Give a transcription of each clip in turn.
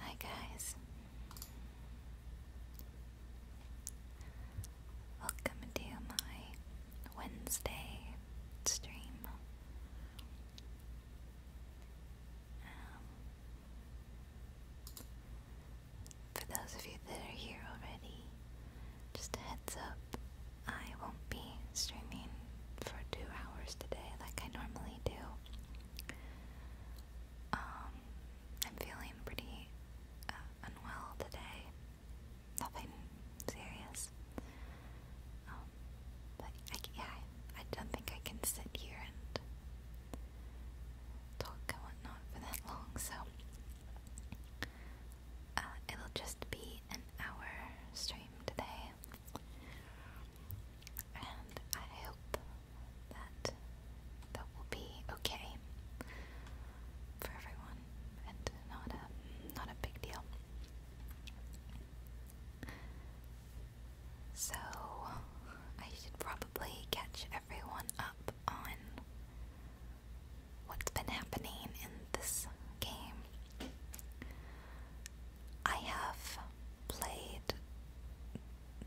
Hi guys. Welcome to my Wednesday stream. Um, for those of you that are here already, just a heads up, I won't be streaming for two hours today like I normally do. Um, I'm feeling pretty uh, unwell today. Nothing serious. Um, but yeah, I don't think I can sit here and talk and whatnot for that long, so uh, it'll just be an hour stream today. And I hope that that will be okay for everyone and not a not a big deal. So I should probably catch everyone up on what's been happening in this game. I have played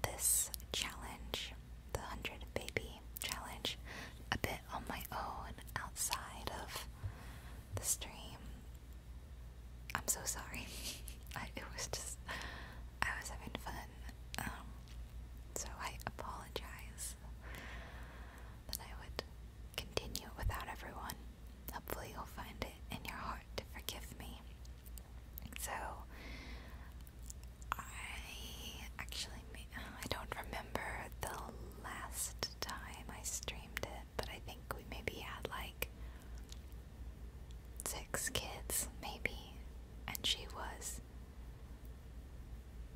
this challenge, the 100 Baby Challenge, a bit on my own outside of the stream. I'm so sorry. I, it was just, I was having fun. Um, so I apologize that I would continue without everyone. Hopefully, you'll find it in your heart to forgive me. So, I actually I don't remember the last time I streamed it, but I think we maybe had like six kids, maybe, and she was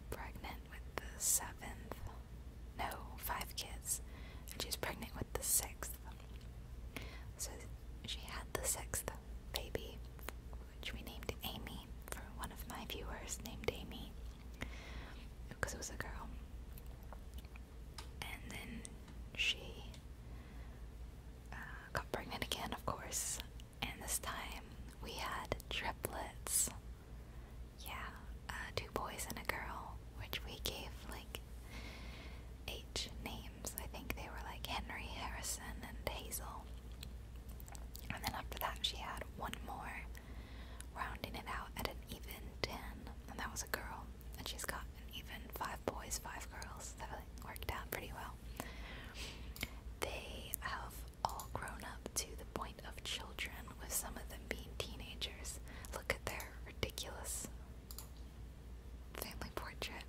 pregnant with the seventh. No, five kids. And she was pregnant with the sixth. So she had the sixth baby, which we named Amy for one of my viewers named Amy because it was a girl. And then she uh, got pregnant again, of course, and this time we had triplets. Yeah, uh, two boys and a girl, which we gave like H names. I think they were like Henry, Harrison, and Hazel. And then after that, she had one more, rounding it out at an even 10. And that was a girl. And she's got an even five boys, five girls. That worked out pretty well. They have all grown up to the point of children, with some of them being teenagers. Look at their ridiculous family portrait.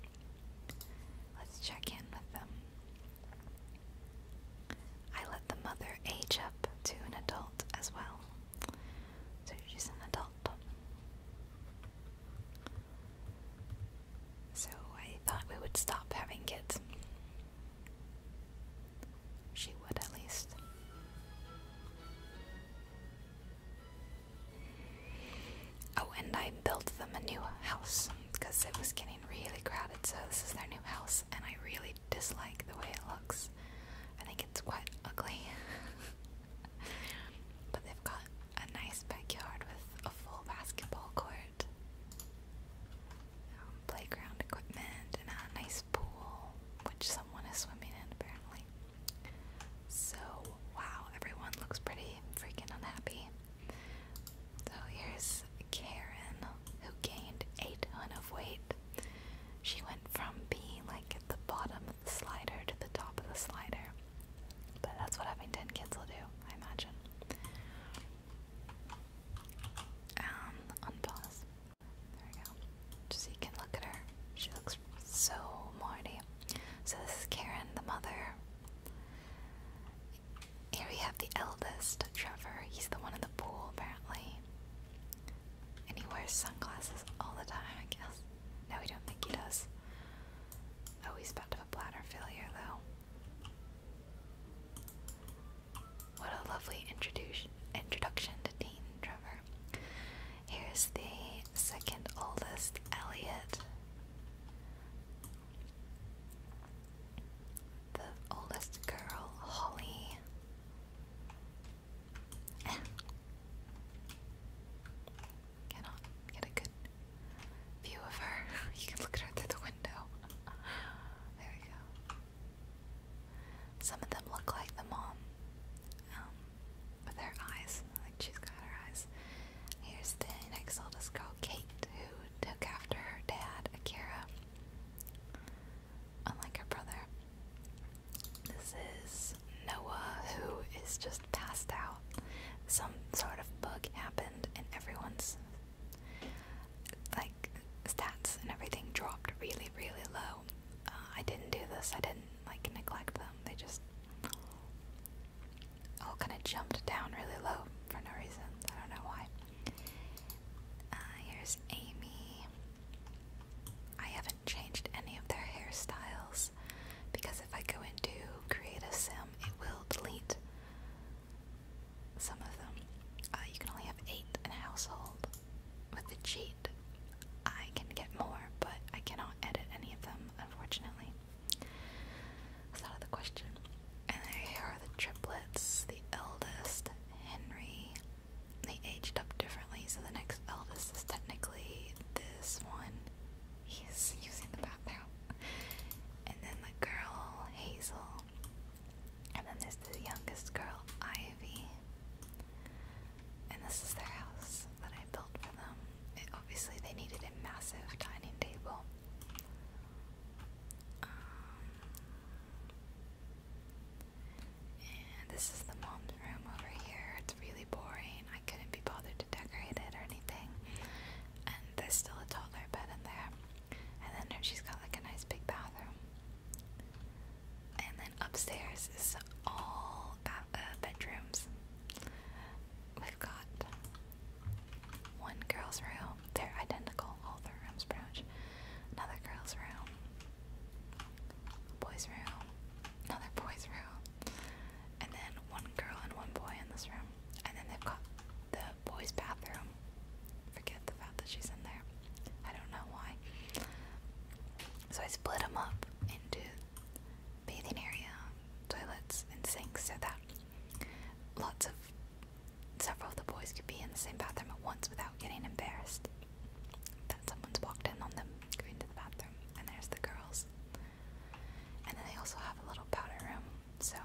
Let's check in with them. I let the mother age up to an adult as well. So she's an adult. So I thought we would stop having kids. She would at least. Oh, and I built them a new house because it was getting really crowded, so this is their new house, and I really dislike the way it looks. I think it's quite ugly. but they've got a nice backyard with a full basketball court. Um, playground equipment and a nice pool, which someone is swimming in apparently. So, wow, everyone looks pretty freaking unhappy. So, here's Karen, who gained eight ton of weight. She went from being like at the bottom of the slider to the top of the slider. But that's what having 10 kids will do, I imagine. Um, unpause. There we go. so you can look at her. She looks so morty. So this is Karen, the mother. Here we have the eldest, Trevor. He's the one in the pool, apparently. And he wears sunglasses all the time, I guess. No, we don't think he does. Oh, he's about to have a bladder failure, though. What a lovely introduction introduction to Dean Trevor. Here's the second oldest, Elliot. The oldest girl, Holly. Cannot get a good view of her. you can look at her through the window. there we go. Some of them look like the mom um, with eyes, like she's got her eyes. Here's the next oldest girl, Kate, who took after her dad, Akira, unlike her brother. This is Noah, who is just passed out. Some sort of bug happened, and everyone's like stats and everything dropped really, really low. Uh, I didn't do this. I didn't like neglect them. They just all kind of jumped down really low for no reason. I don't know why. Uh, here's Amy. I haven't changed any of their hairstyles because if I go into create a sim, it will delete some of them. Uh, you can only have eight in a household with the cheat, I can get more, but I cannot edit any of them, unfortunately. That's out of the question. And they are the triplets. The eldest, Henry. They aged up differently, so the next eldest is technically this one. He's using the bathroom. And then the girl, Hazel. And then there's the youngest girl, Ivy. And this is their house that I built for them. obviously, they needed a massive dining table. Um, and this is the mom's room over here. It's really boring. I couldn't be bothered to decorate it or anything. And there's still a toddler bed in there. And then she's got like a nice big bathroom and then upstairs is all uh, bedrooms. We've got one girl's room. They're identical, all the rooms pretty much. Another girl's room. Boy's room. Another boy's room. And then one girl and one boy in this room. And then they've got the boys' bathroom forget the fact that she's in there. I don't know why. So I split them up into bathing area, toilets, and sinks so that lots of several of the boys could be in the same bathroom at once without getting embarrassed that someone's walked in on them going to the bathroom. And there's the girls. And then they also have a little powder room, so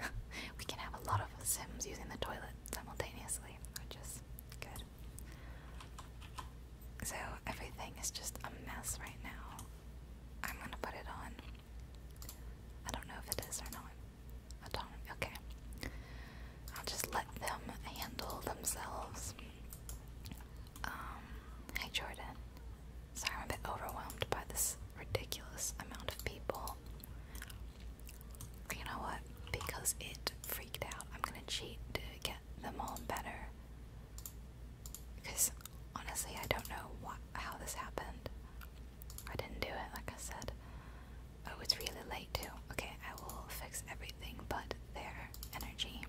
we can have a lot of Sims using the toilet simultaneously, which Good. So everything is just a mess right now. I'm gonna put it on. I don't know if it is or not. I don't. Okay. I'll just let them handle themselves. Um, hey Jordan. Sorry, I'm a bit overwhelmed by this ridiculous amount of people. You know what? Because it freaked out, I'm gonna cheat to get them all better. Because honestly, I don't know what how this happened. I didn't do it, like I said. Oh, it's really late too. Okay, I will fix everything but their energy.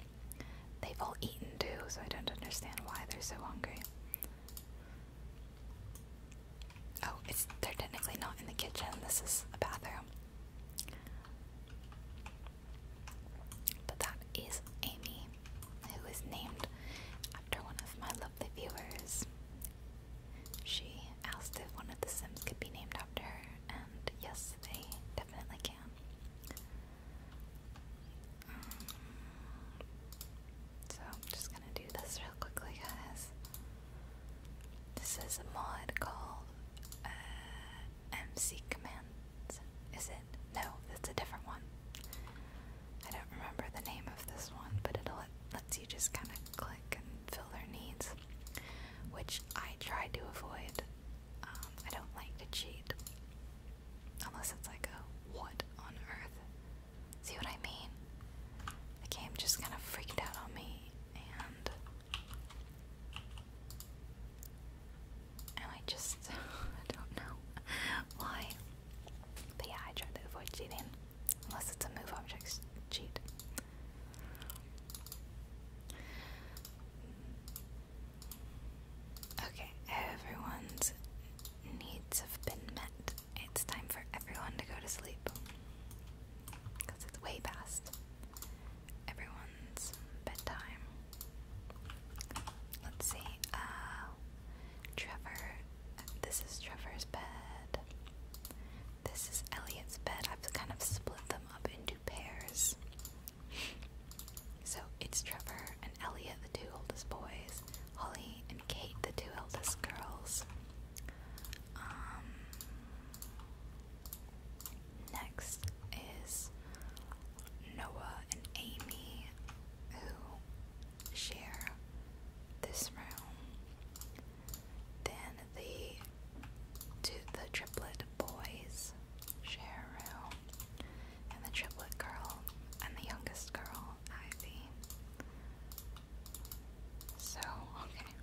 They've all eaten too, so I don't understand why they're so hungry. Oh, it's they're technically not in the kitchen. This is a bathroom. But that is Amy, who is named after one of my lovely viewers. She asked if one of the Sims could be named after her, and yes, they definitely can. Um, so just gonna do this real quickly, guys. This is a mod called uh, MC Commands. Is it? No, that's a different one. I don't remember the name of this one, but it let, lets you just kind of click and fill their needs, which I try to avoid. Um, I don't like to cheat. Unless it's like a what on earth? See what I mean? The game just kind of freaked out on me and I just don't know why. But yeah, I try to avoid cheating unless it's a move object cheat. Okay, everyone's needs have been met. It's time for everyone to go to sleep because it's way past everyone's bedtime. Let's see. Uh, Trevor. This is Trevor's bed. This is Elliot's bed. I've kind of split them up into pairs. So it's Trevor and Elliot, the two oldest boys, Holly and Kate, the two eldest girls. Um, Next is Noah and Amy, who share this room. Then the two, the triplet boys share room, and the triplet girl and the youngest girl, Ivy. So okay,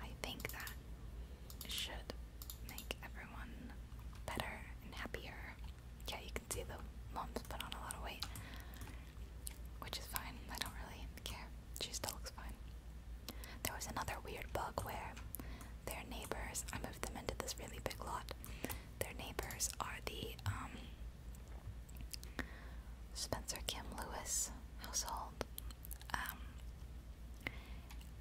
I think that should make everyone better and happier. Yeah, you can see the mom's put on a lot of weight, which is fine. I don't really care. She still looks fine. There was another weird bug where their neighbors, I moved them into this really big lot. Their neighbors are the um, Spencer Kim Lewis household. Um,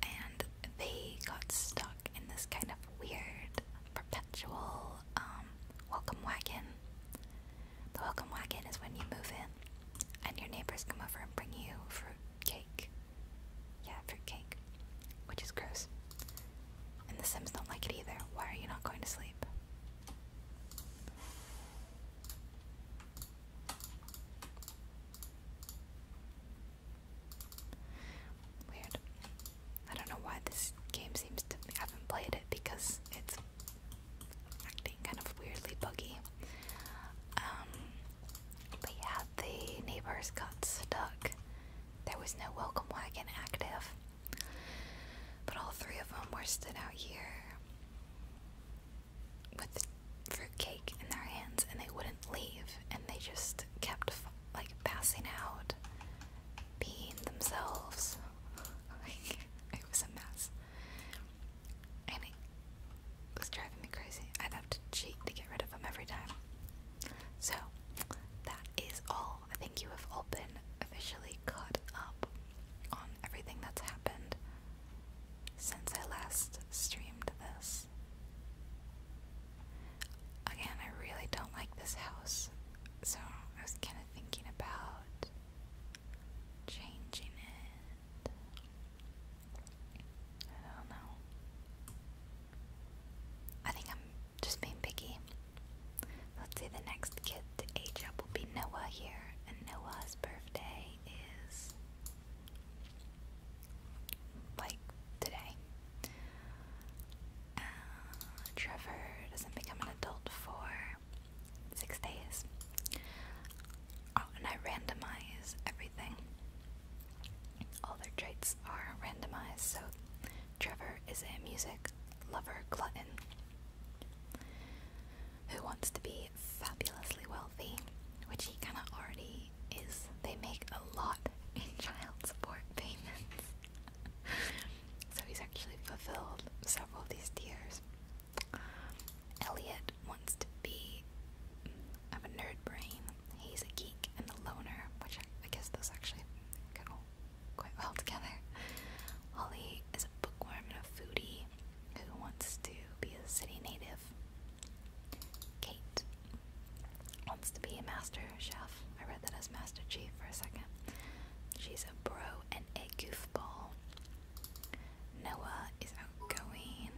and they got stuck in this kind of weird, perpetual um, welcome wagon. The welcome wagon is when you move in and your neighbors come over and bring you fruit cake. Yeah, fruit cake, which is gross. And the Sims don't like it either. Why are you not going to sleep? Weird. I don't know why this game seems to. I haven't played it because it's acting kind of weirdly buggy. Um, but yeah, the neighbors got stuck. There was no welcome wagon active. But all three of them were stood out here with fruitcake in their hands and they wouldn't leave and they just kept like passing out being themselves like it was a mess and it was driving me crazy i'd have to cheat to get rid of them every time so that is all i think you have all been officially caught up on everything that's happened since I last streamed this. Again, I really don't like this house, so I was kind of thinking about changing it. I don't know. I think I'm just being picky. Let's see the next kid the age up will be Noah here, and Noah's birthday is like today. Uh, Trevor doesn't become an adult for six days. Oh, and I randomize everything. All their traits are randomized, so Trevor is a music lover glutton who wants to be fabulously wealthy, which he kinda already is. They make a lot in child support payments. so he's actually fulfilled several of these tiers. Elliot wants to be of a nerd brain. He's a geek and a loner, which I, guess those actually go quite well together. Holly is a bookworm and a foodie who wants to be a city native. Kate wants to be a master chef. I read that as Master Chief for a second. She's a bro and a goofball. Noah is outgoing.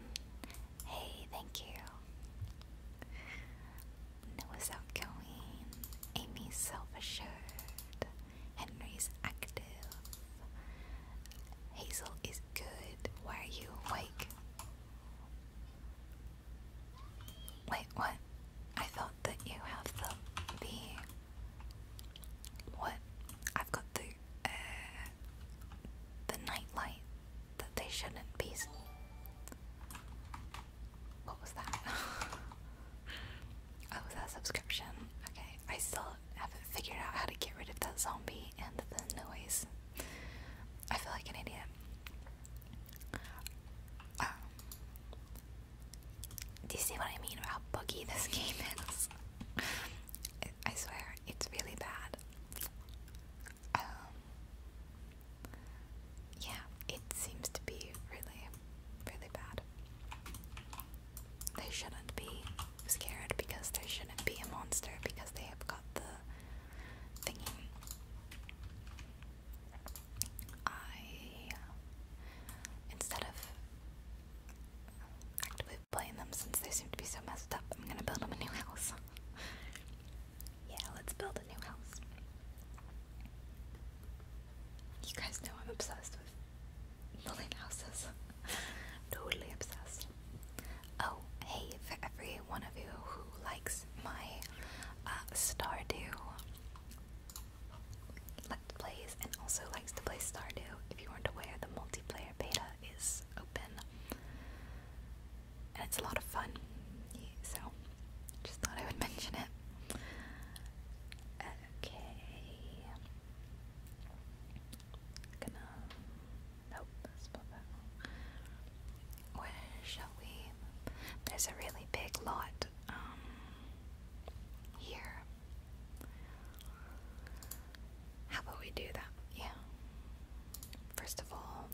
Hey, thank you. Noah's outgoing. Amy's self assured. Henry's active. Hazel is good. Why are you awake? Wait, what? I thought that you have the what? I've got the uh, the night that they shouldn't be. What was that? oh, was subscription? Okay, I still haven't figured out how to get rid of that zombie and the noise. I feel like an idiot. Um, do you see what I mean about how this game is? I swear, it's really bad. Um, yeah, it seems to be really, really bad they shouldn't be scared because there shouldn't be a monster because they have got the thingy. I, uh, instead of actively playing them since they seem to be so messed up, I'm gonna build them a new house. yeah, let's build a new house. You guys know I'm obsessed with building houses. totally obsessed. Oh, hey, for every one of you who likes my uh, Stardew Plays and also likes to play Stardew, if you aren't aware, the multiplayer beta is open. And it's a lot of fun, so just thought I would mention it. Okay. Where shall we? There's a really big lot um, here. How about we do that? Yeah. First of all,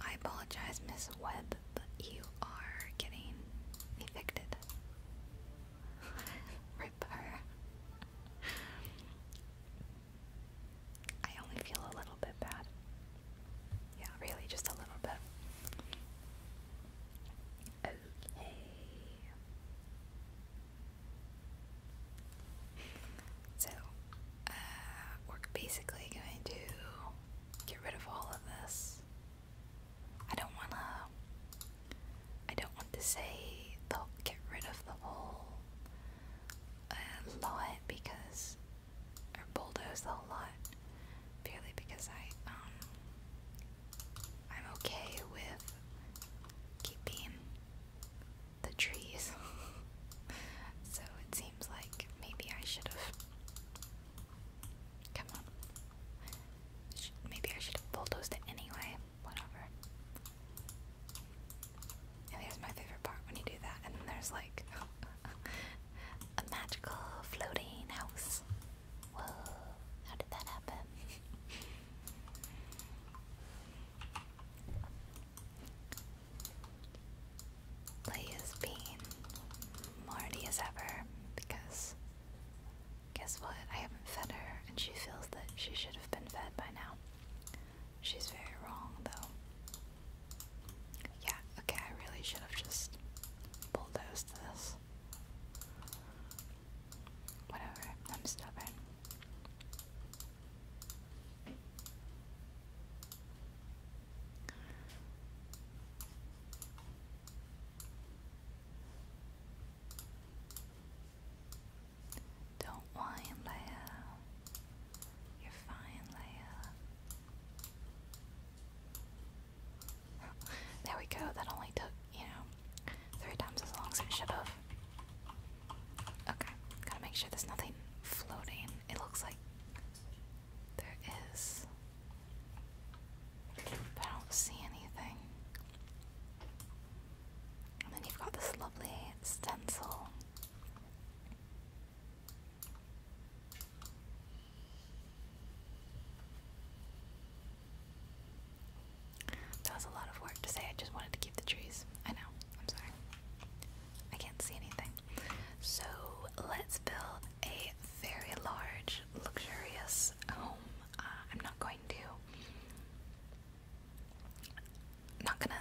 I apologize, Miss Webb, but you are getting evicted. Rip her. I only feel a little bit bad. Yeah, really, just a little bit. Okay. So, uh, we're basically going to get rid of all of this. I don't want to I don't want to say they'll get rid of the whole uh, lot because, or bulldoze the whole lot, purely because I, um, I'm okay with keeping the trees. so it seems like maybe I should have. Come on. Maybe I should have bulldozed it anyway whatever. And here's my favorite part when you do that, and then there's like a magical floating house. Whoa, how did that happen? Play is being Marty as ever because Guess what? I haven't fed her, and she feels that she should have been fed by now. She's very wrong, though. Yeah, okay, I really should have just bulldozed this. Whatever, I'm stubborn. Don't whine, Leia. You're fine, Leia. there we go. That only took, you know, three times as long as it should have. Okay, gotta make sure there's nothing floating. It looks like there is. I don't see anything. And then you've got this lovely stencil. That was a lot of work to say, I just wanted to keep the trees. I know, I'm sorry. I can't see anything. So let's build a very large, luxurious home. Uh, I'm not going to not gonna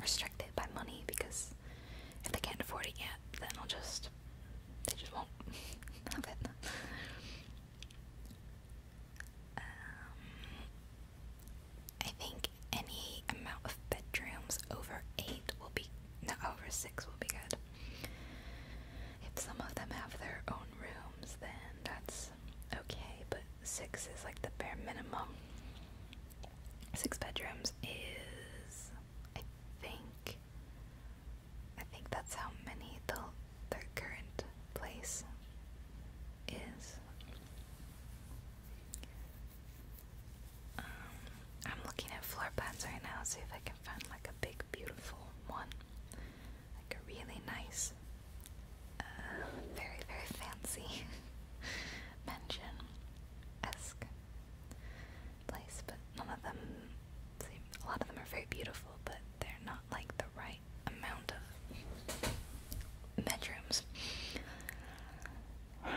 restrict it by money because if they can't afford it yet, then I'll just they just won't have it. Um, I think any amount of bedrooms over eight will be no over six will be good. If some of them have their own rooms, then that's okay, but six is like the bare minimum. Six bedrooms is, I think, I think that's how many the their current place is. Um, I'm looking at floor plans right now, see if I can find like a big, beautiful one like a really nice, uh, very, very fancy mansion esque place, but none of them seem, a lot of them are very beautiful, but they're not like the right amount of bedrooms.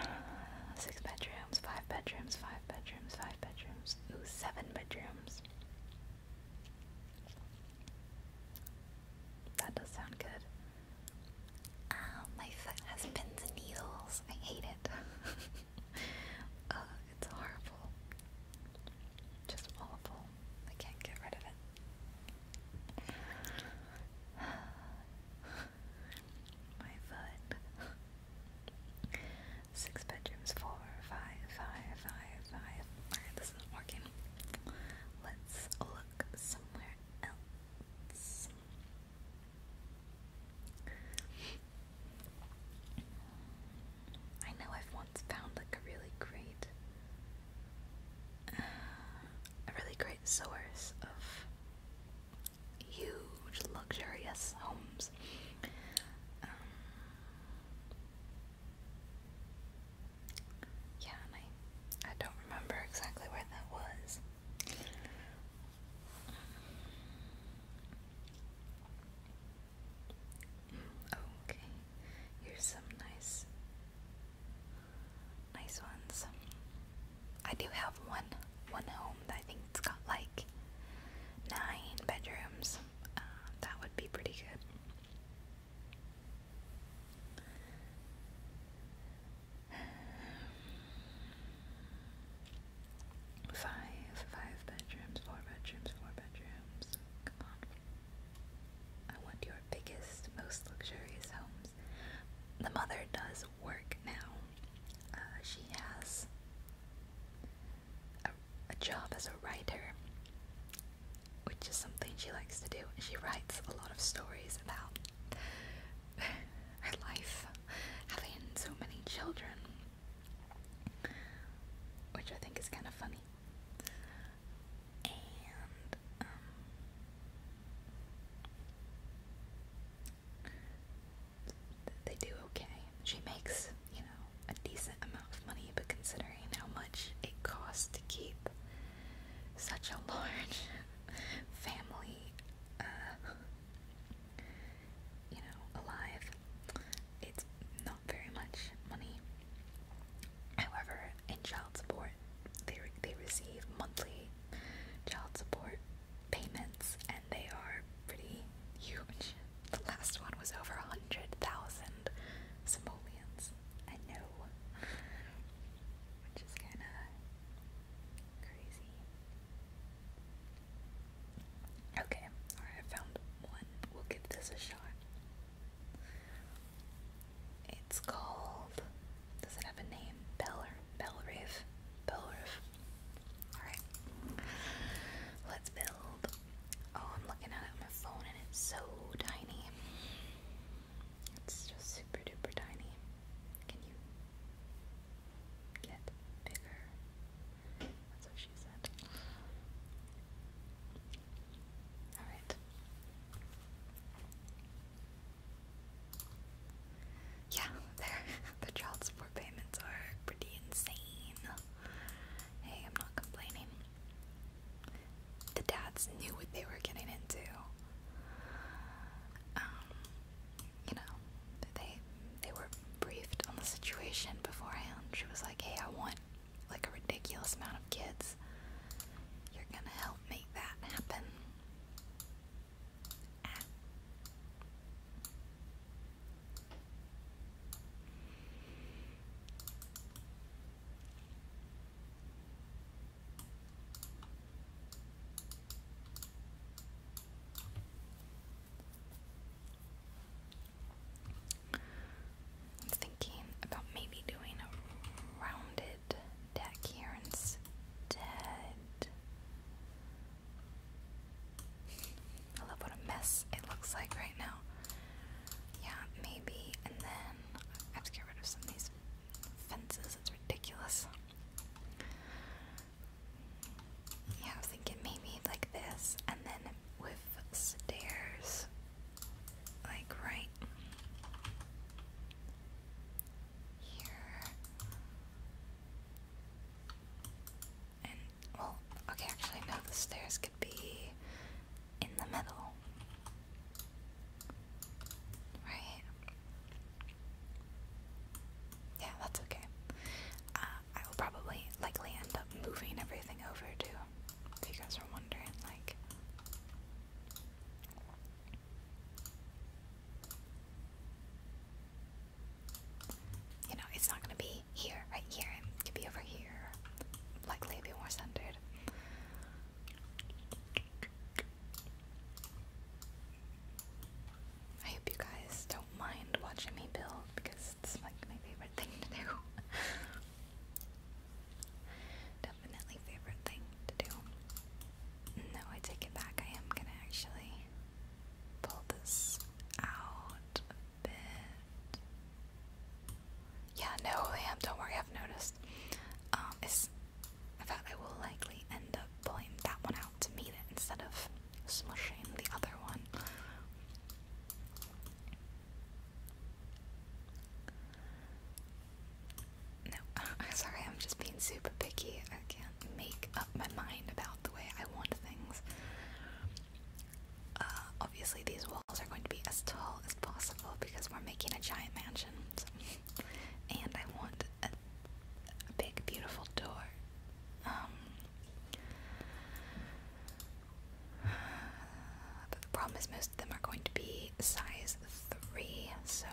Six bedrooms, five bedrooms, five bedrooms, five bedrooms, seven bedrooms. That does sound good. Um, my foot has pins and needles. I hate it. Uh, it's horrible. Just awful. I can't get rid of it. my foot. Six bedrooms, four, five, five, five, five working. Let's look somewhere else. I know I've once found like a really great, uh, a really great source of huge luxurious homes. Um, yeah, I, I don't remember exactly where that was. Okay, here's some nice, nice ones. I do have one, one home that I think it's got like nine bedrooms. Uh, that would be pretty good. Five, five bedrooms, four bedrooms, four bedrooms. Come on. I want your biggest, most luxurious homes. The mother does work now. Uh, she has a job as a writer which is something she likes to do, she writes a lot of stories about her life having so many children, which I think is kind of funny. And um, they do okay. She makes, you know, a decent amount of money, but considering how much it costs to keep such a large family, uh, you know, alive, it's not very much money. However, in child support, they they receive monthly child support payments, and they are pretty huge. The last one was over a hundred thousand simoleons. I know. Which is kind of crazy. Okay, alright, I found one. We'll give this a shot. It's called. Does it have a name? Bell Bellriff? Bellriff. Alright. Let's build. Oh, I'm looking at it on my phone and it's so tiny. It's just super duper tiny. Can you get bigger? That's what she said. Alright. Yeah, the child support payments are pretty insane. Hey, I'm not complaining. The dads knew what they were getting into. Um, you know, they they were briefed on the situation beforehand. She was like, "Hey, I want like a ridiculous amount of kids. You're gonna help make that happen." I'm thinking about maybe doing a rounded deck here instead. I love what a mess it looks like right now. Yeah, maybe, and then I have to get rid of some of these fences, it's ridiculous. Yeah, I was thinking maybe like this, and then with stairs, like right here. And, well, okay, actually, no, the stairs could be in the middle. Right? Yeah, that's okay. Uh, I will probably likely end up moving everything over too. If you guys are wondering, like. You know, it's not gonna be here, right here. It could be over here. Likely, be more centered. I hope you guys don't mind watching me build because it's like my favorite thing to do. Definitely favorite thing to do. No, I take it back. I am gonna actually pull this out a bit. Yeah, no, Liam, don't worry, I've noticed. Um, it's, in I will likely end up pulling that one out to meet it instead of smushing the other one. No, sorry, I'm just being super picky. I can't make up my mind about the way I want things. Uh, obviously these walls are going to be as tall as possible because we're making a giant mansion. And I want a, big, beautiful door. Um, but the problem is, most of them are going to be size 3, so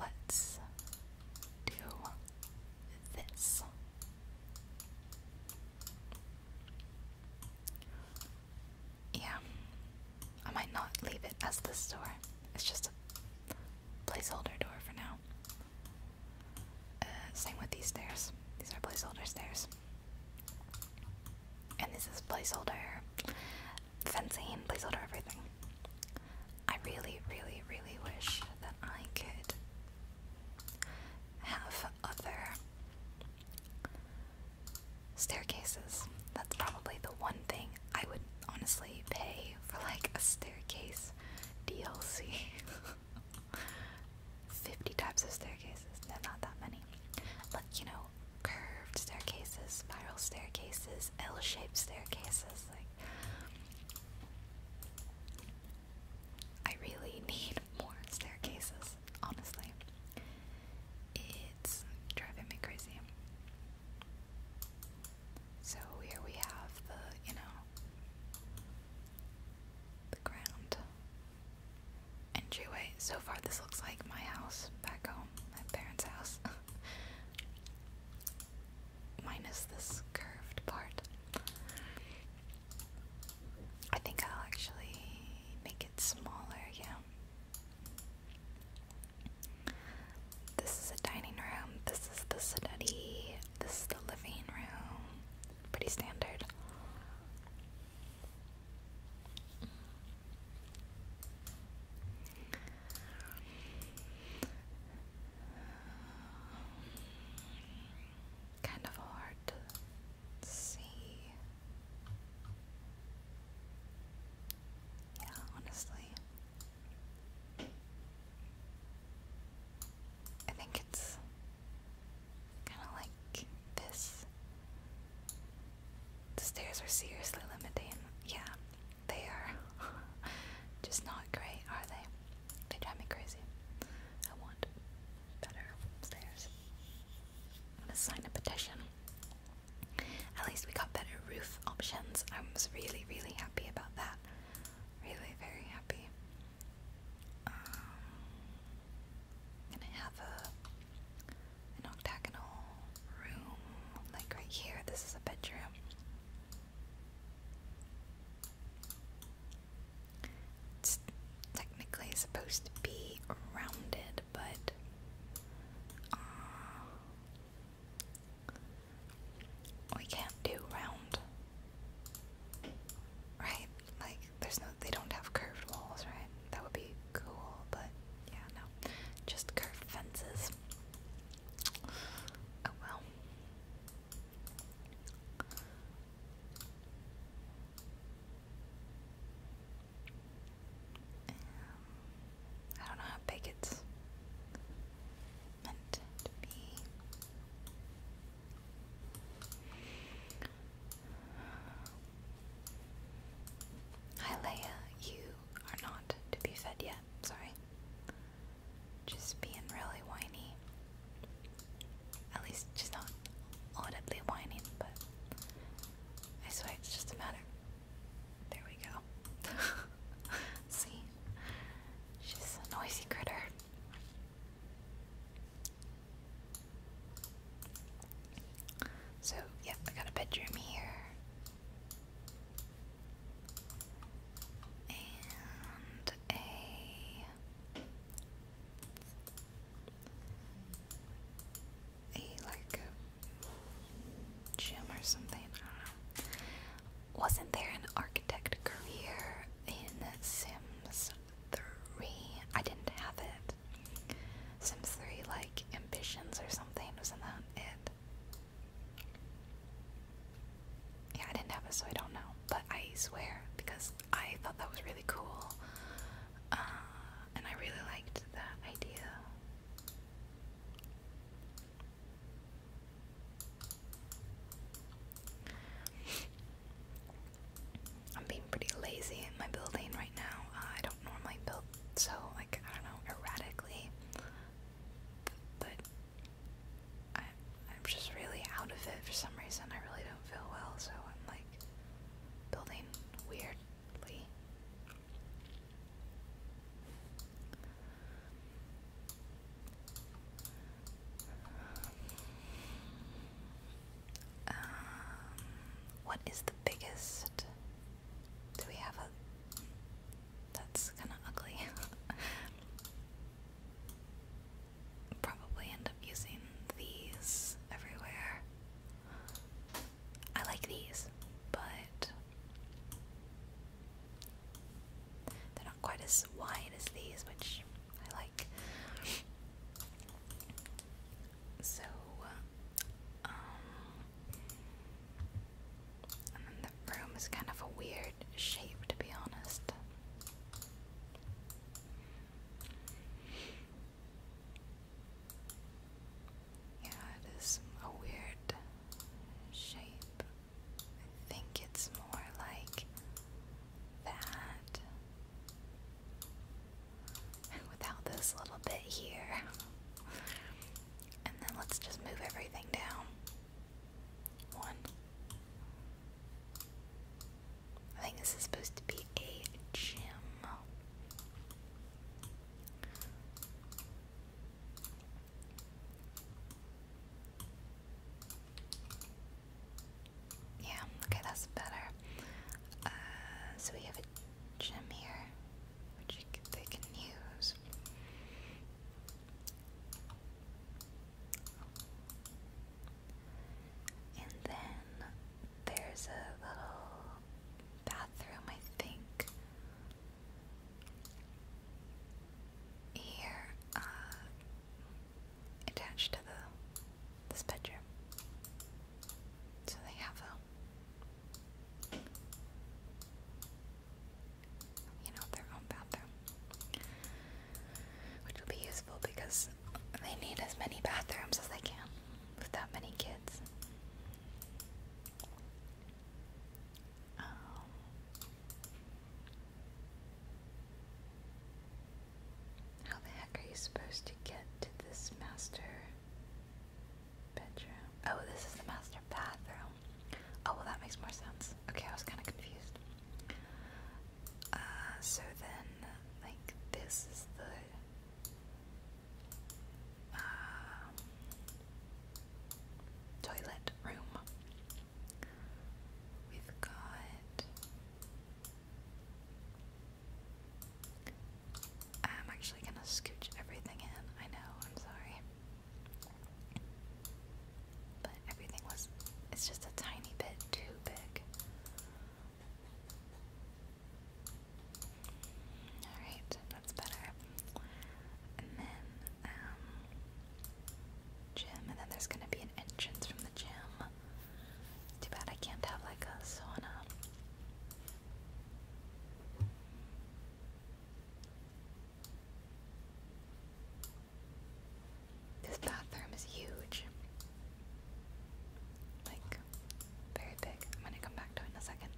let's do this. Yeah. I might not leave it as the door. It's just a placeholder door for now. Uh, same with these stairs. These are placeholder stairs. And this is placeholder fencing, placeholder everything. I really, really, really wish that I could have other Staircases. That's probably the one thing I would honestly pay for like a staircase DLC. 50 types of staircases. No, not that many. Like, you know, curved staircases, spiral staircases, L shaped staircases. Like, I really need more staircases, honestly. It's driving me crazy. So here we have the, you know, the ground entryway. So far, this looks like my house back home, my parents' house. Minus this curved part. I think I'll actually make it smaller, yeah. This is a dining room, this is the study, this is the living room. Pretty standard. Kind of hard Let's see. Yeah, honestly. I think it's kind of like this. The stairs are seriously limiting. Yeah, they are just not great, are they? They drive me crazy. I want better stairs. I'm gonna sign a petition. At least we got better roof options. I was really, really happy about that. Really, very happy. Um, gonna have an octagonal room, like right here. This is a bedroom. It's technically supposed to be rounded, but uh, we can't do round, right? Like, there's no, they don't have curved walls, right? That would be cool, but yeah, no, just curved fences. Oh well. Um, I don't know how big it's meant to be. Hi Leia, you are not to be fed yet, sorry. Just being really whiny. At least she's not audibly whining, but I swear it's just a matter. There we go. See? She's a noisy critter. So, yep, I got a bedroom here. And a a like gym or something. Wasn't there an architect career in Sims 3? I didn't have it. Sims 3, like ambitions or something, wasn't that it? Yeah, I didn't have it, so I don't know. But I swear, because I thought that was really cool. Uh, and I really liked that idea. I'm being pretty lazy in my building right now. Uh, I don't normally build so, like, I don't know, erratically. But I'm just really out of it for some reason. I really don't feel well, so I'm like building weirdly. Um, what is the biggest? Do we have a? That's kind of ugly. Probably end up using these everywhere. I like these, but they're not quite as wide as these, which I like. So, um, and then the room is kind of a weird shape, to be honest. Yeah, it is a weird shape. I think it's more like that. Without this little bit here. And then let's just move everything down. One, I think this is supposed to be a gym. Yeah, okay, that's better. Uh, so we have a gym here, which they can use. And then there's a little bathroom, I think. Here, uh, attached to the this bedroom. So they have a you know, their own bathroom. Which will be useful because they need as many bathrooms as they can with that many kids. Um, how the heck are you supposed to get to this master bedroom? Oh, this is the master bathroom. Oh, well, that makes more sense. Okay, I was kind of confused. Uh, so then, like, this is the uh, toilet room. We've got. I'm actually gonna scooch everything in. I know, I'm sorry. But everything was. It's just a tiny bit too big. Alright, that's better. And then, um, gym, and then there's gonna be an entrance from the gym. Too bad I can't have like a sauna. This bathroom is huge. Like, very big. I'm gonna come back to it in a second.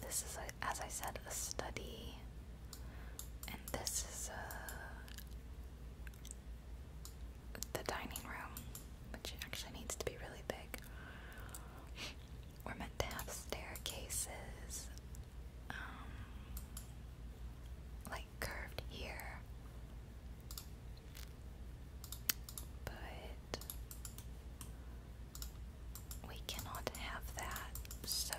This is, a, as I said, a study, and this is uh, the dining room, which actually needs to be really big. We're meant to have staircases, um, like curved here, but we cannot have that, so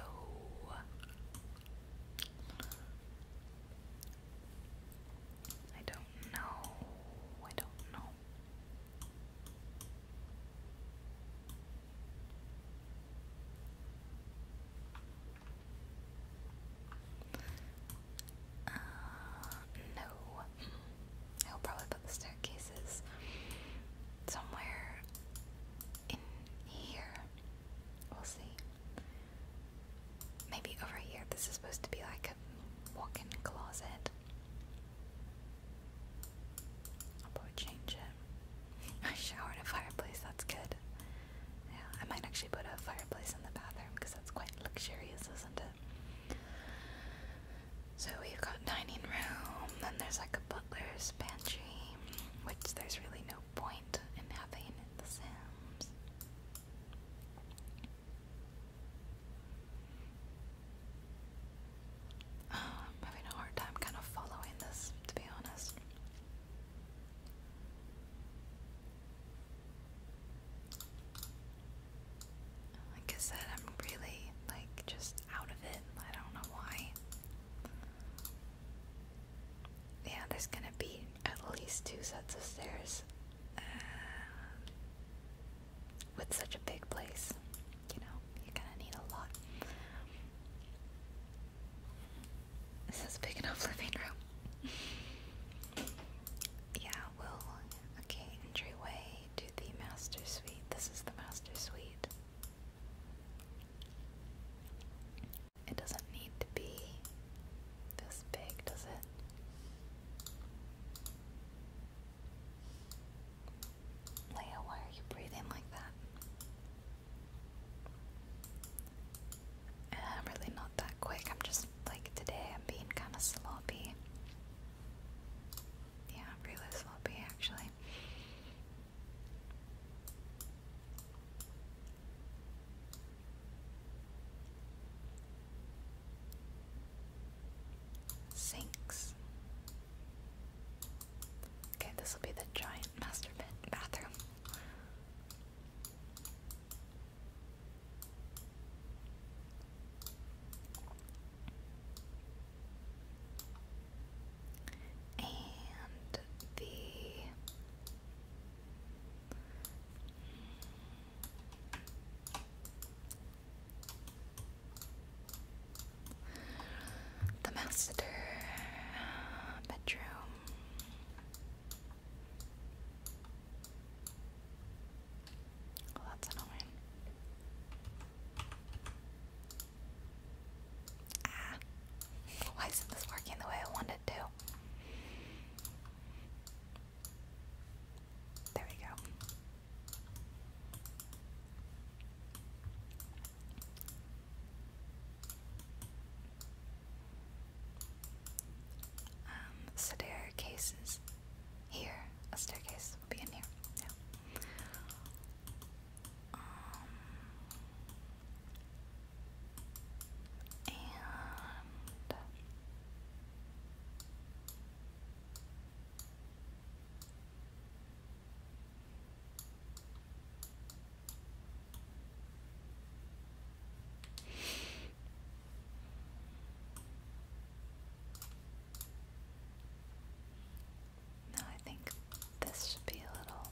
I don't know. I don't know. Uh, no. Mm. I'll probably put the staircases somewhere in here. We'll see. Maybe over here. This is supposed to be like a walk in closet. I'll probably change it. I shower in a fireplace, that's good. Yeah, I might actually put a fireplace in the bathroom because that's quite luxurious, isn't it? So we've got dining room, then there's like a butler's pantry, which there's really no point in having in The Sims. Um, I'm having a hard time kind of following this, to be honest. Like I said, I'm really like just out of it. I don't know why. Yeah, there's gonna be at least two sets of stairs uh, with such a big place. You know, you're gonna need a lot. This is big enough living room. yeah, will okay, entryway to the master suite. This is the master suite. It doesn't need to be this big, does it? Leia, why are you breathing like that? I'm really not that quick. I'm just like today I'm being kind of sloppy. Yeah, really sloppy actually. Sinks. Okay, this will be the giant master bathroom. And the the master bedroom that's annoying. Ah, why isn't this working the way I want it to? There we go um, staircases here. A staircase will be in here. Yeah. Um, and now I think this should be a little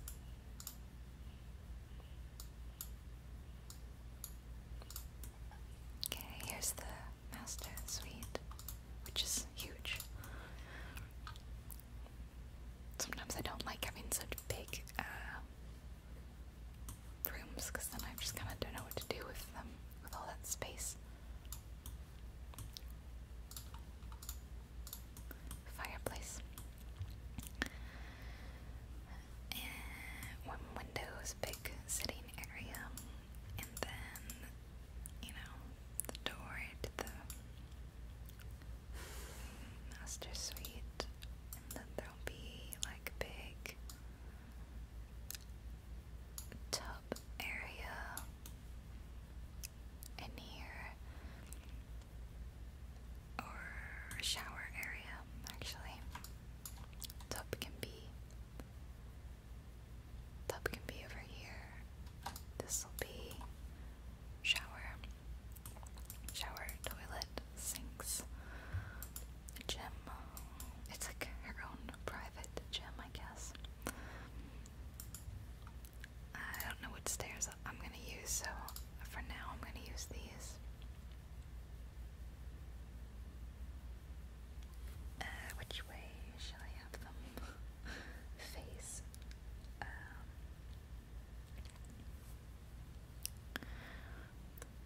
Okay, here's the master suite, which is huge. Sometimes I don't like having such big uh, rooms because then I just kind of don't know what to do with them with all that space. Fireplace. And one windows, big sitting area, and then you know the door to the master suite, and then there'll be like big tub area in here, or shower area, actually. Tub can be. Tub can be over here. This will be shower, shower, toilet sinks gym. It's like her own private gym, I guess. I don't know what stairs I'm gonna use, so for now I'm gonna use these. Uh, which way shall I have them face? Um,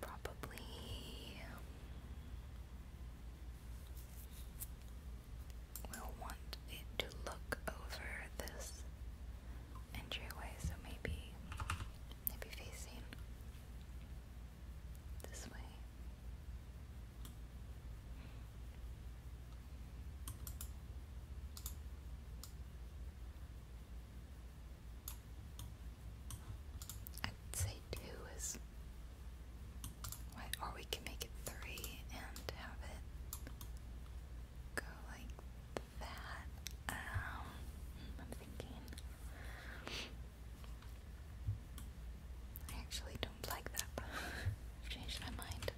Probably we'll want it to look over this entryway, so maybe maybe facing this way. I'd say two is what, or we can make it three and have it go like that. Um, I'm thinking. I actually don't like that. changed my mind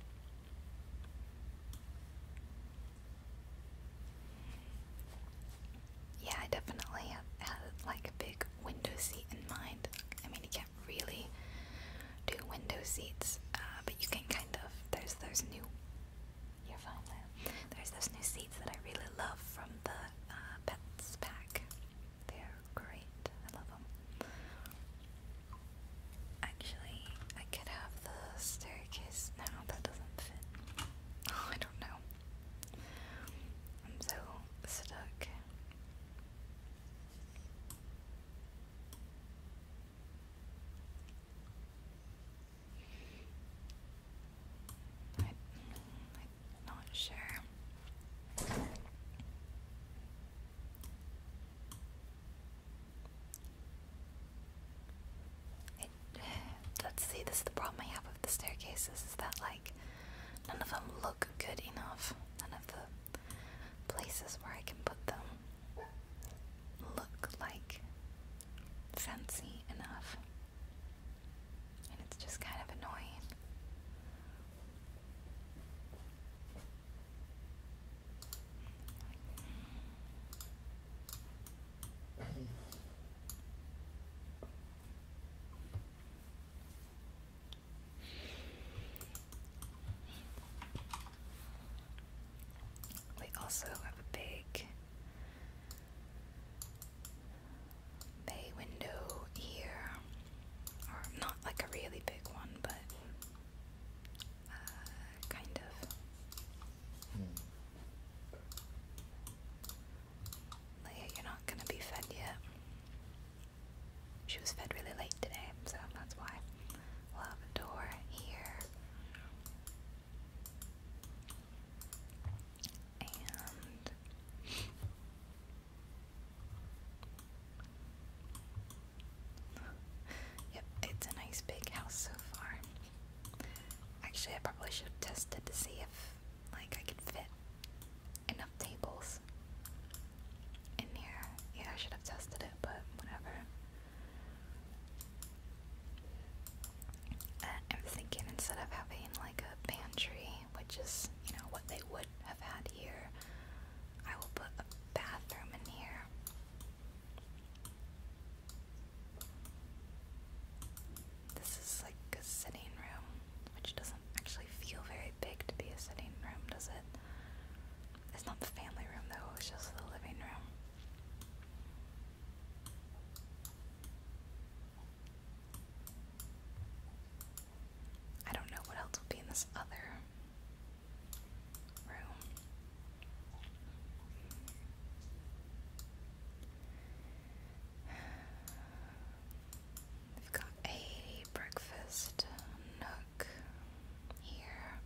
yeah, I definitely have like a big window seat in mind. I mean, you can't really do window seats, uh, but you can kind of. There's those new. You're fine there. There's those new seats that I really love from the uh, Pets Pack. They're great. I love them. Actually, I could have the staircase. now that doesn't fit. Oh, I don't know. I'm so stuck. I, am not sure. let's see, this is the problem I have with the staircases is that, like, none of them look good enough. None of the places where I can put them look like fancy enough. And it's just kind of annoying. We also have a big bay window here, or not like a really big one, but uh, kind of. Hmm. Leah, you're not gonna be fed yet. She was fed really late today, so that's why. We'll have a door here. And yep, it's a nice big house so far. Actually, I probably should have tested to see if like I could fit enough tables in here. Yeah, I should have tested it, but whatever. Uh, I'm thinking instead of having like a pantry, which is, you know, what they would have had here, I will put a bathroom in here. This is like a sitting room, which doesn't actually feel very big to be a sitting room, does it? It's not the family room though, it's just the living room. I don't know what else will be in this other room. We've got a breakfast nook here.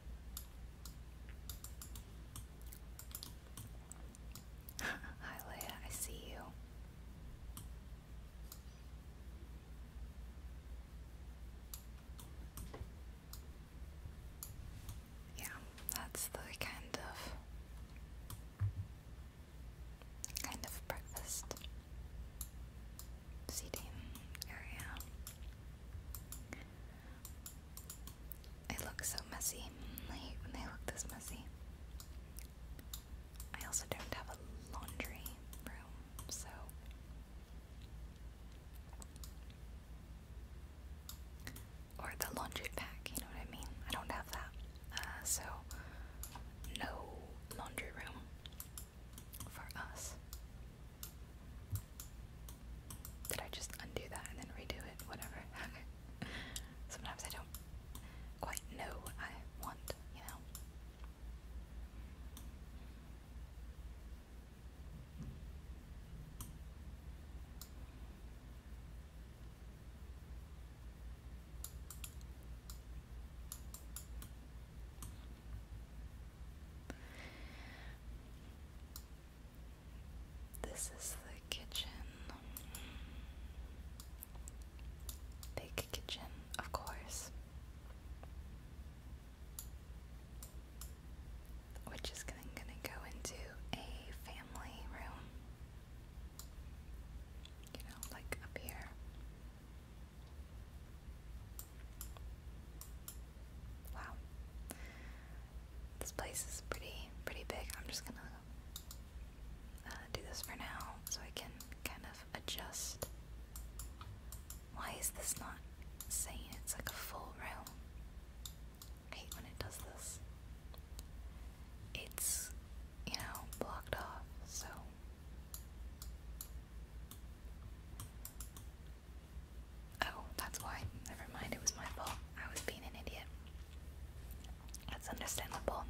Hi Leia, I see you yeah, that's the kind of kind of breakfast seating area. It looks so messy. when they look this messy. I also don't have a laundry room, so or the laundry pack, you know what I mean? I don't have that. Uh, so, no laundry room for us. Did I just undo that and then redo it? Whatever. Sometimes I don't quite know what I want, you know? This is the kitchen. Big kitchen, of course. Which is then gonna go into a family room. You know, like up here. Wow. This place is pretty, pretty big. I'm just gonna uh, do this for now so I can kind of adjust. Why is this not saying it's like a full room? I hate when it does this. It's, you know, blocked off, so. Oh, that's why. Never mind, it was my fault. I was being an idiot. That's understandable.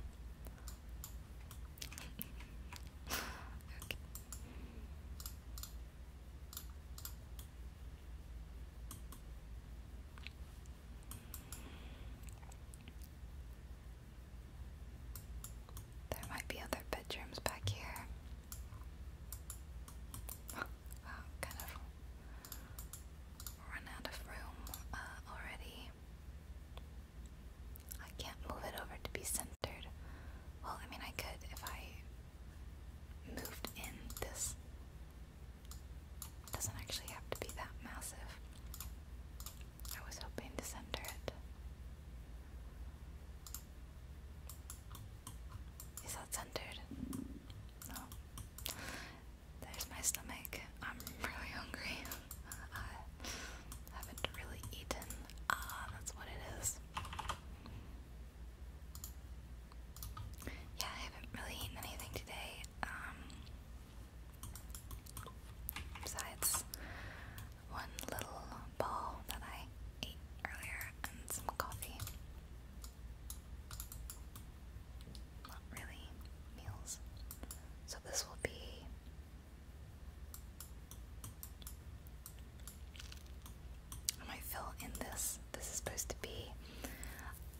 okay. There might be other bedrooms back here. Oh, kind of run out of room uh, already. I can't move it over to be centered. Well, I mean, I could if I moved in this it doesn't actually have to be that massive. I was hoping to center it. Is that centered? No. There's my stomach. I'm really hungry. I haven't really eaten. Ah, that's what it is. Yeah, I haven't really eaten anything today. Um, Besides one little ball that I ate earlier and some coffee. Not really meals. So this will be I might fill in this. This is supposed to be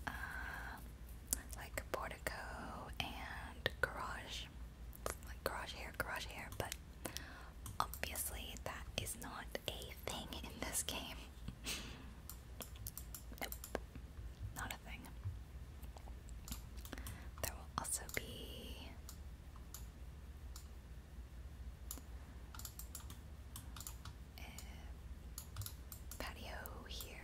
uh, like portico and garage, like garage hair, garage hair, but obviously that is not a thing in this game. nope, not a thing. There will also be. patio here.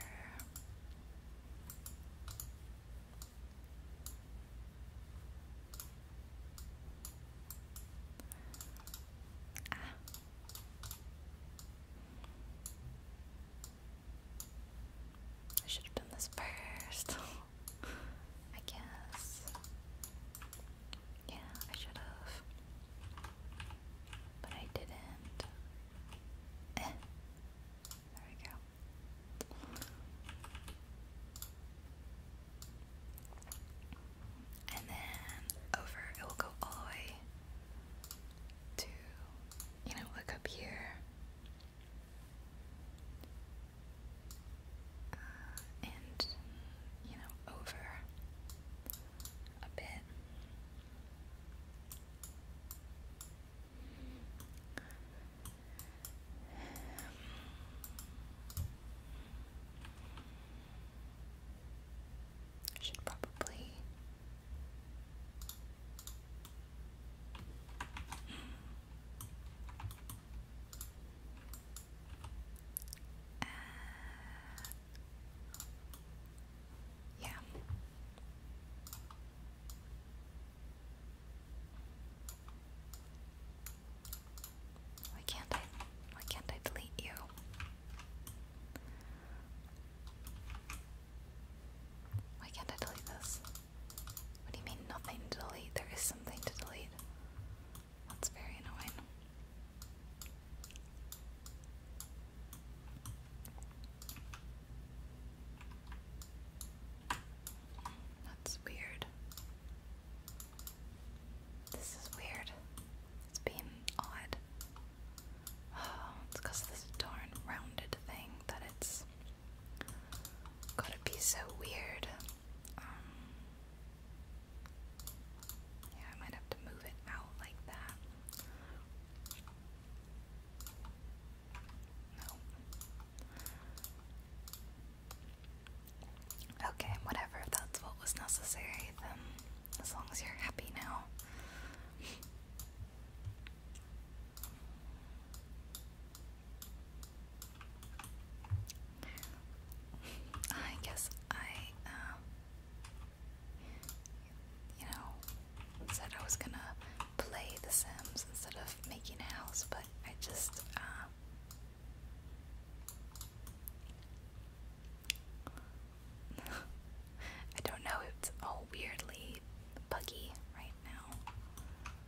I should have done this first. I guess. Yeah, I should have. But I didn't. Eh. There we go. And then over, it will go all the way to, you know, look up here. Uh, and, you know, over a bit. Should probably yeah. Why can't I why can't I delete you? Why can't I delete this? What do you mean nothing to delete? There is something to delete. That's very annoying. That's weird. This is weird. It's odd. Oh, it's because of this darn rounded thing that it's gotta be so weird. Um, yeah, I might have to move it out like that. Okay, whatever. that's what was necessary, then as long as you're happy now. I guess I, uh, you know, said I was gonna play The Sims instead of making a house, but I just, uh, I don't know, it's all weirdly buggy right now.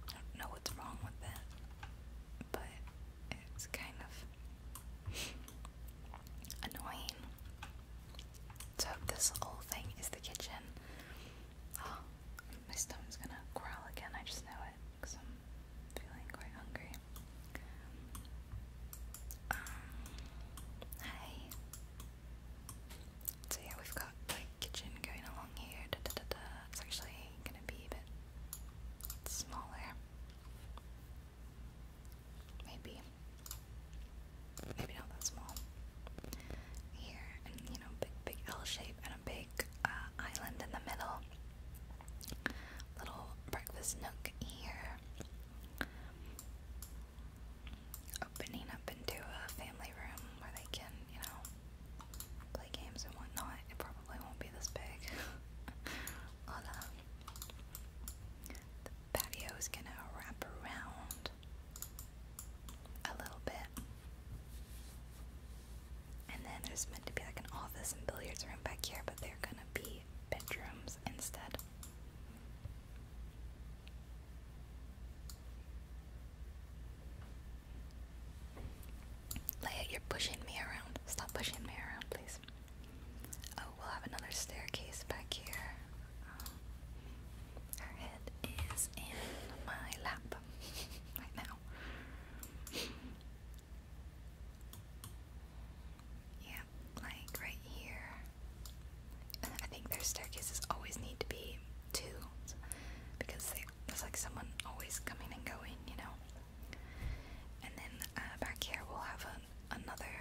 I don't know what's wrong with it, but it's kind of annoying. So this whole thing is the kitchen. Oh, my stomach's gonna growl again. I just know it because I'm feeling quite hungry. Um, hi. So yeah, we've got like kitchen going along here. It's actually gonna be a bit smaller. Maybe. Maybe not that small. Here, and you know, big, L shape and a big uh, island in the middle. Little breakfast nook here. Opening up into a family room where they can, you know, play games and whatnot. It probably won't be this big. Hola. The patio is gonna wrap around a little bit. And then there's meant to be like an office and billiards room back here, but they're gonna be bedrooms instead. Leia, you're pushing me around. Stop pushing me around, please. Oh, we'll have another staircase back here. Her head is in my lap right now. Yeah, like right here. I think their staircases always need to be two because they, like someone always coming and going, you know. And then uh, back here we'll have an, another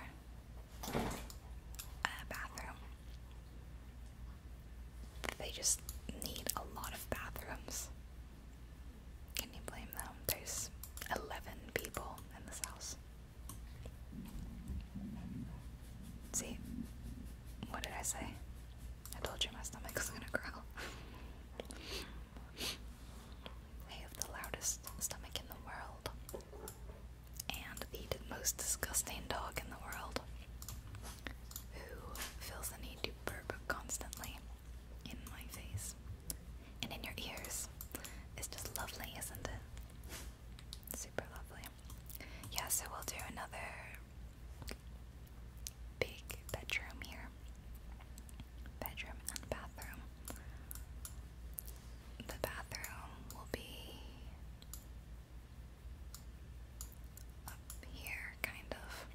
bathroom. They just need a lot of bathrooms. Can you blame them? There's 11 people in this house. See? What did I say? I told you my stomach was gonna growl. I have the loudest stomach in the world and the most disgusting dog in the world who feels the need to burp constantly in my face and in your ears. It's just lovely, isn't it? Super lovely. Yeah, so we'll do another big bedroom here. Bedroom and bathroom. The bathroom will be up here, kind of.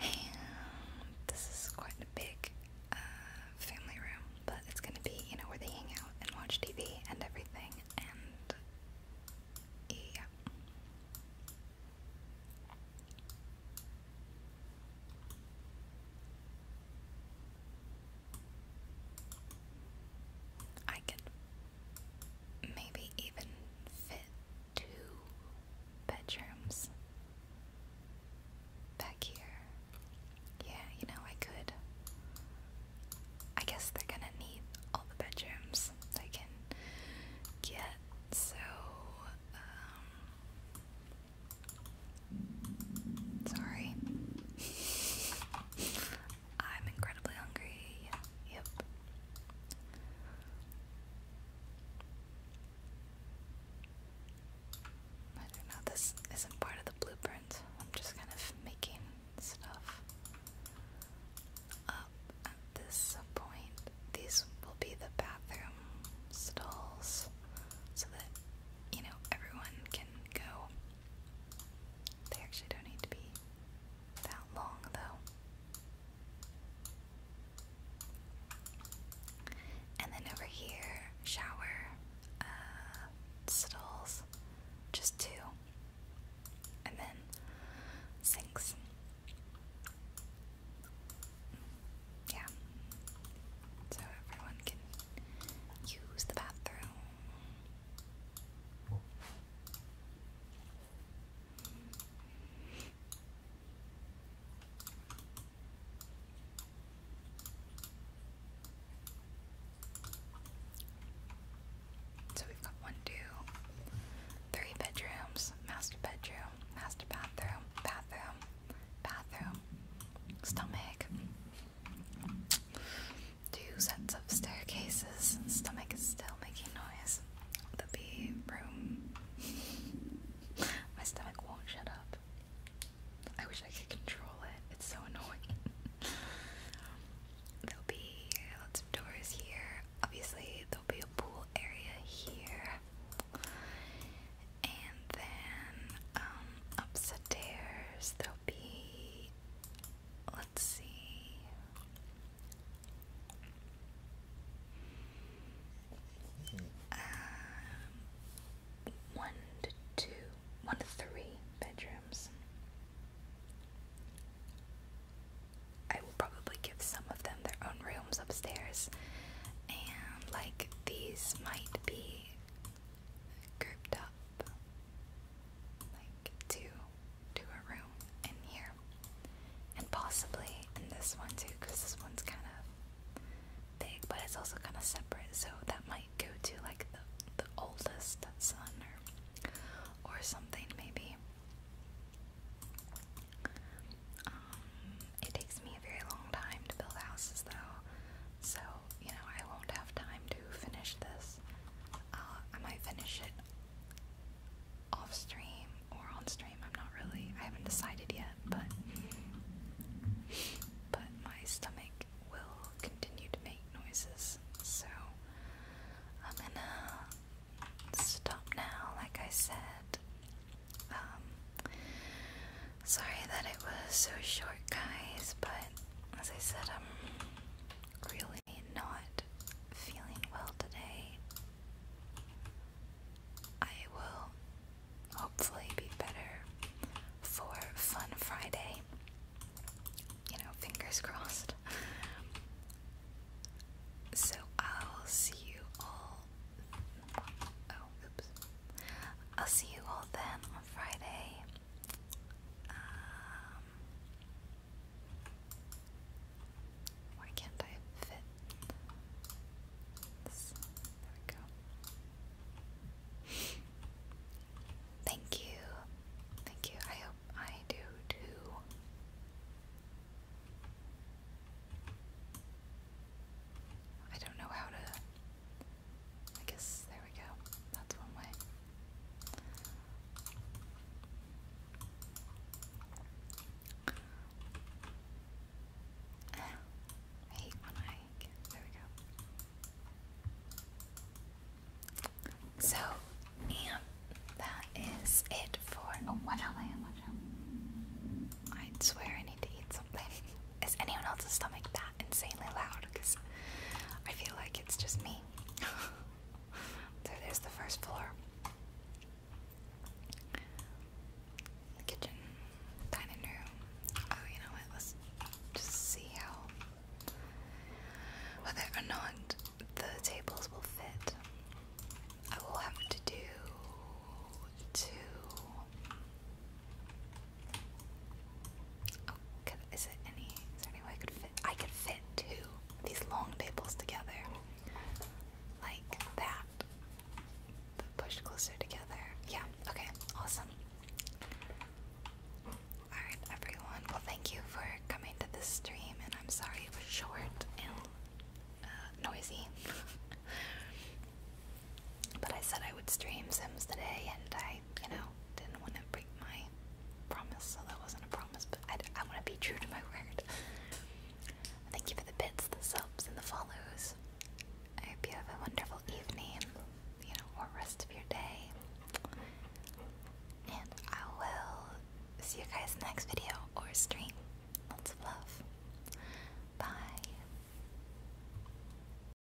And this is quite a big uh, family room, but it's gonna be, you know, where they hang out and watch TV and everything, and yeah. I could maybe even fit two bedrooms back here. Yeah, you know, I could. I guess they're gonna need all the bedrooms they can get, so um, Sorry. I'm incredibly hungry. Yep. I don't know, this isn't part of the blueprint. I'm just kind of making stuff up at this point. These will be the bathroom stalls so that you know, everyone can go. They actually don't need to be that long, though. And then over here, shower, uh, stalls, just two. And then sinks. Yeah. So everyone can Use the bathroom. So we've got one, two, three bedrooms, master bedroom, master bathroom, bathroom, bathroom, stomach, Two sets of staircases. Stomach is still making noise. The bee room. My stomach won't shut up. I wish I could control it. It's so annoying. there'll be lots of doors here. Obviously, there'll be a pool area here. And then um, upstairs there'll be, let's see, um, one to two, one to three bedrooms. I will probably give some of them their own rooms upstairs, and like these might be grouped up like to to a room in here and possibly in this one too because this one's kind of big but it's also kind of separate so that might go to like the, the oldest son or or something maybe um, it takes me a very long time to build houses though so, you know, I won't have time to finish this. Uh, I might finish it off stream or on stream. I'm not really, I haven't decided yet, but. But my stomach will continue to make noises, so I'm gonna stop now, like I said. Um, Sorry that it was so short, guys, but as I said, I'm really not feeling well today. I will hopefully be better for Fun Friday. You know, fingers crossed. So I'll see you all. Oh, oops. I'll see you all then on Friday. Um, why can't I fit There we go. Thank you. Thank you. I hope I do too. I don't know how to I guess there we go. That's one way. I hate when I there we go. So, yeah, that is it for, oh, watch I swear I need to eat something. Is anyone else's stomach that insanely loud? Because I feel like it's just me. so there's the first floor. The kitchen, dining room. Oh, you know what? Let's just see how whether or not the tables will fit. I will have to do two Oh, is it any? Is there any way I could fit? I could fit two of these long tables together, like that. But closer together. Yeah. Okay. Awesome. All right, everyone. Well, thank you for coming to this stream, and I'm sorry it was short and uh, noisy. But I said I would stream Sims today, and I, you know, didn't want to break my promise, so that wasn't a promise, but I, I want to be true to my word. Thank you for the bits, the subs, and the follows. I hope you have a wonderful evening, you know, or rest of your day. And I will see you guys in the next video or stream. Lots of love. Bye.